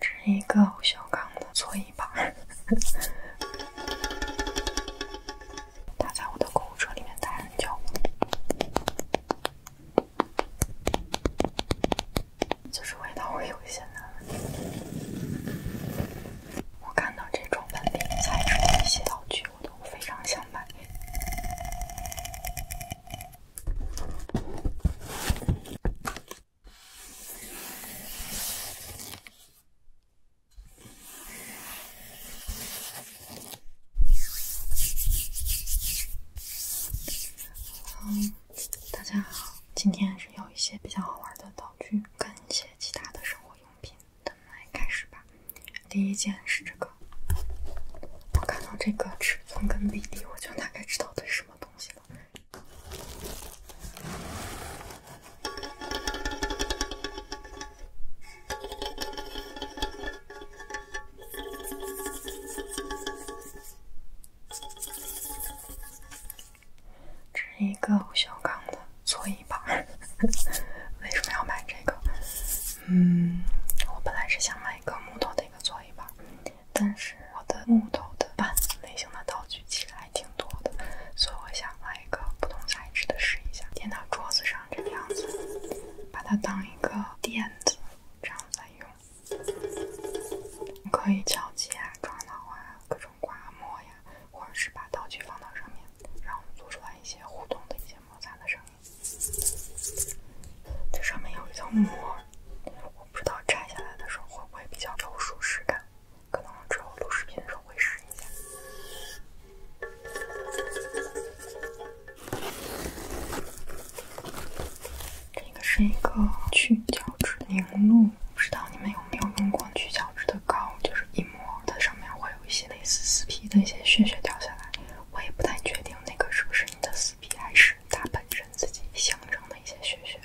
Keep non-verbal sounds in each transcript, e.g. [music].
这是一个不锈钢的搓衣板，它 [laughs] 在我的购物车里面待很久了，就是味道会有一些难闻。我看到这种文具、彩妆、一些道具，我都非常想买。[laughs] 嗯，大家好，今天是有一些比较好玩的道具跟一些其他的生活用品，咱们来开始吧。第一件是这个，我看到这个尺寸跟比例，我就大概知道的是。什么东西呢？是一个不锈钢的搓衣板。[laughs] 为什么要买这个？嗯，我本来是想买一个木头的一个搓衣板。但是我的木头的、板类型的道具其实还挺多的，所以我想来一个不同材质的试一下。垫到桌子上这个样子，把它当一个垫子这样子用，可以敲击啊、撞到啊、各种刮磨呀，或者是把道具放到上面，然后做出来一些互动的一些摩擦的声音。这上面有一层膜，我不知道拆下来的时候会不会比较有舒适感，可能之后录视频的时候会试一下。这个是一个去角质凝露，不知道你们有没有用过去角质的膏，就是一摸它上面会有一些类似死皮的一些屑屑掉下来。我也不太确定那个是不是你的死皮，还是它本身自己形成的一些血血。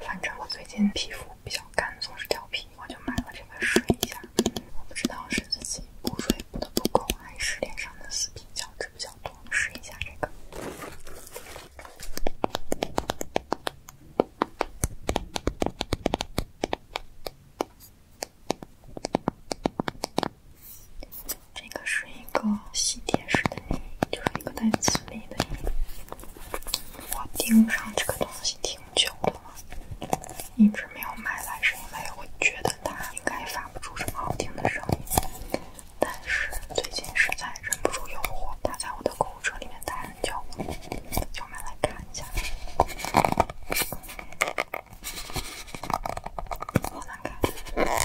反正我最近皮肤比较干，总是掉皮，我就买了这个试一下。我不知道是自己补水补的不够，还是脸上的死皮角质比较多。试一下这个。这个是一个吸铁石的，就是一个带磁力的。我盯上这个东西挺久的了，一直没有买来，是因为我觉得它应该发不出什么好听的声音。但是最近实在忍不住诱惑，它在我的购物车里面待很久就买来看一下。好难开，是挺难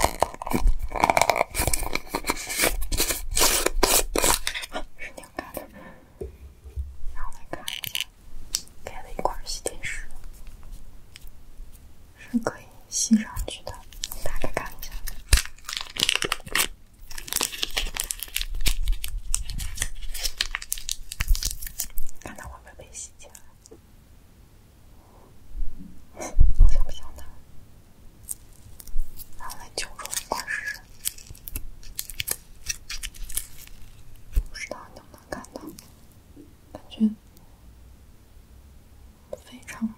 的。然后我看一下，开了一块吸铁石，是可以吸上去的。打开看一下，看到我们。被洗劫了，好像不像他。然后来九种二十生，不知道能不能看到。感觉非常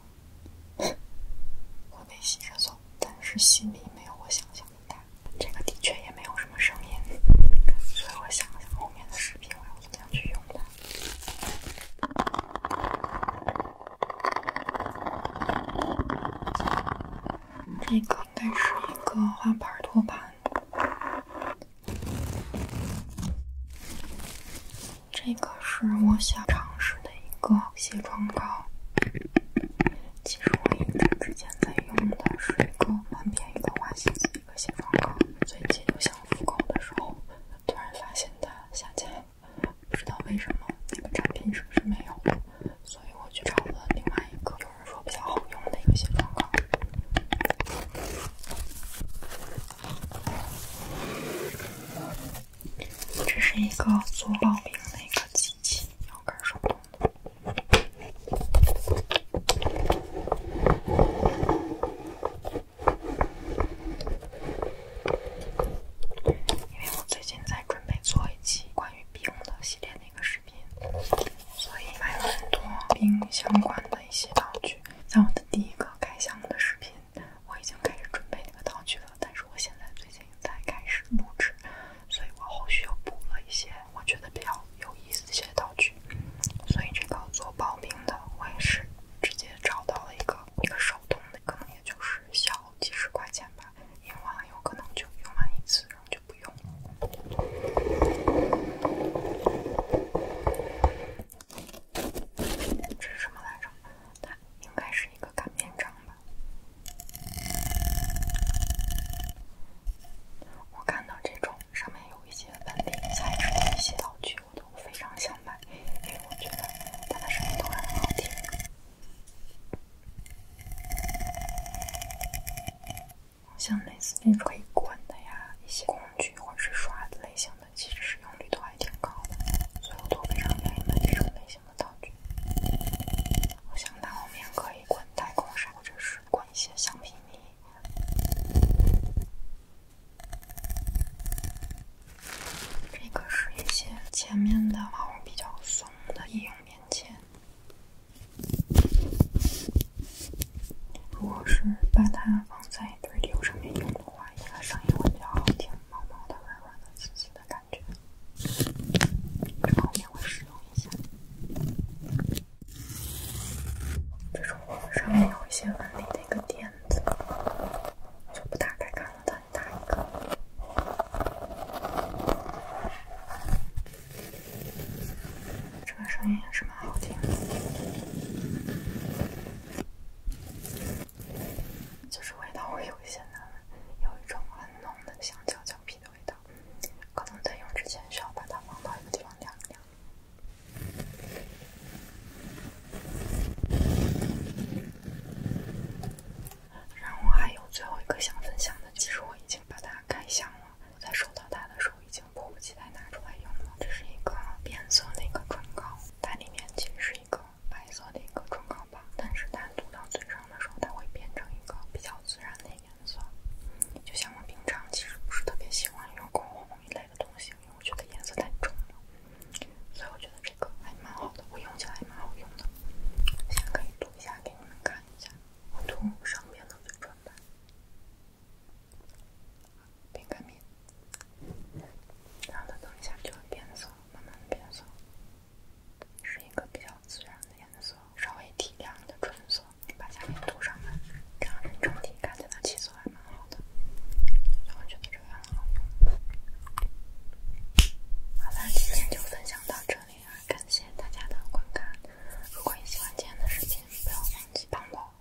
[laughs] 会被洗着走，但是心里没有我想象的大。这个的确也没有什么声音，所以我想想后面的视频我要怎样去用它。这个应该是一个花盘托盘。这个是我想尝试的一个卸妆膏。其实我一直之前在用的是一个蛮便宜的花西子一个卸妆膏，最近想复购的时候，突然发现它下架了，不知道为什么那个产品是不是没有了，所以我去找了另外一个有人说比较好用的一个卸妆膏。这是一个做报的一个机器，你要干什么？因为我最近在准备做一期关于冰的系列那个视频，所以买了很多冰相关的一些道具。在我的第一个开箱的视频，我已经开始准备那个道具了。但是我现在最近才开始录制，所以我后续又补了一些我觉得比较有意思的一些道具。所以这个做刨冰的，我也是直接找到了一个一个手动的，可能也就是小几十块钱吧，因为有可能就用完一次，然后就不用了。这是什么来着？它应该是一个擀面杖吧。我看到这种上面有一些纹理的材质的一些道具，我都非常想买，因为我觉得它的声音都很好听。像类似那种可以关的呀，一些工具或者是刷子类型的，其实使用率都还挺高的，所以我都非常想买这种类型。造句。我想拿后面可以滚太空沙，或者是滚一些橡皮泥。这个是一些前面的毛绒比较松的医用棉签。如果是把它放在堆流上面用的话，应该声音会比较好听，毛毛的、软软的、滋滋的。的感觉，后面会使用一下这种上面有一些纹理的一个垫子，就不打开看了，再打一个。这个声音也是蛮好听的。就是味道会有一些难闻，有一种很浓的香蕉蕉皮的味道，可能在用之前需要把它放到一个地方凉凉。然后还有最后一个想分享的，其实我已经把它开箱了。在收到它的时候已经迫不及待拿出来用了。这是一个变色的一个唇膏，它里面其实是一个。白色的一个唇膏吧，但是它涂到嘴上的时候，它会变成一个比较自然的颜色。就像我平常其实不是特别喜欢用口红一类的东西，因为我觉得颜色太重了。所以我觉得这个还蛮好的，我用起来蛮好用的。现在可以涂一下给你们看一下，我涂上面的嘴唇吧。饼干米，然后它等一下就会变色，慢慢变色，是一个比较自然的颜色，稍微提亮的唇色。把下面涂上吧，看我整体看起来气色还蛮好的，就我觉得这个很好用。好啦，今天就分享到这里了，感谢大家的观看。如果你喜欢今天的视频，不要忘记帮我。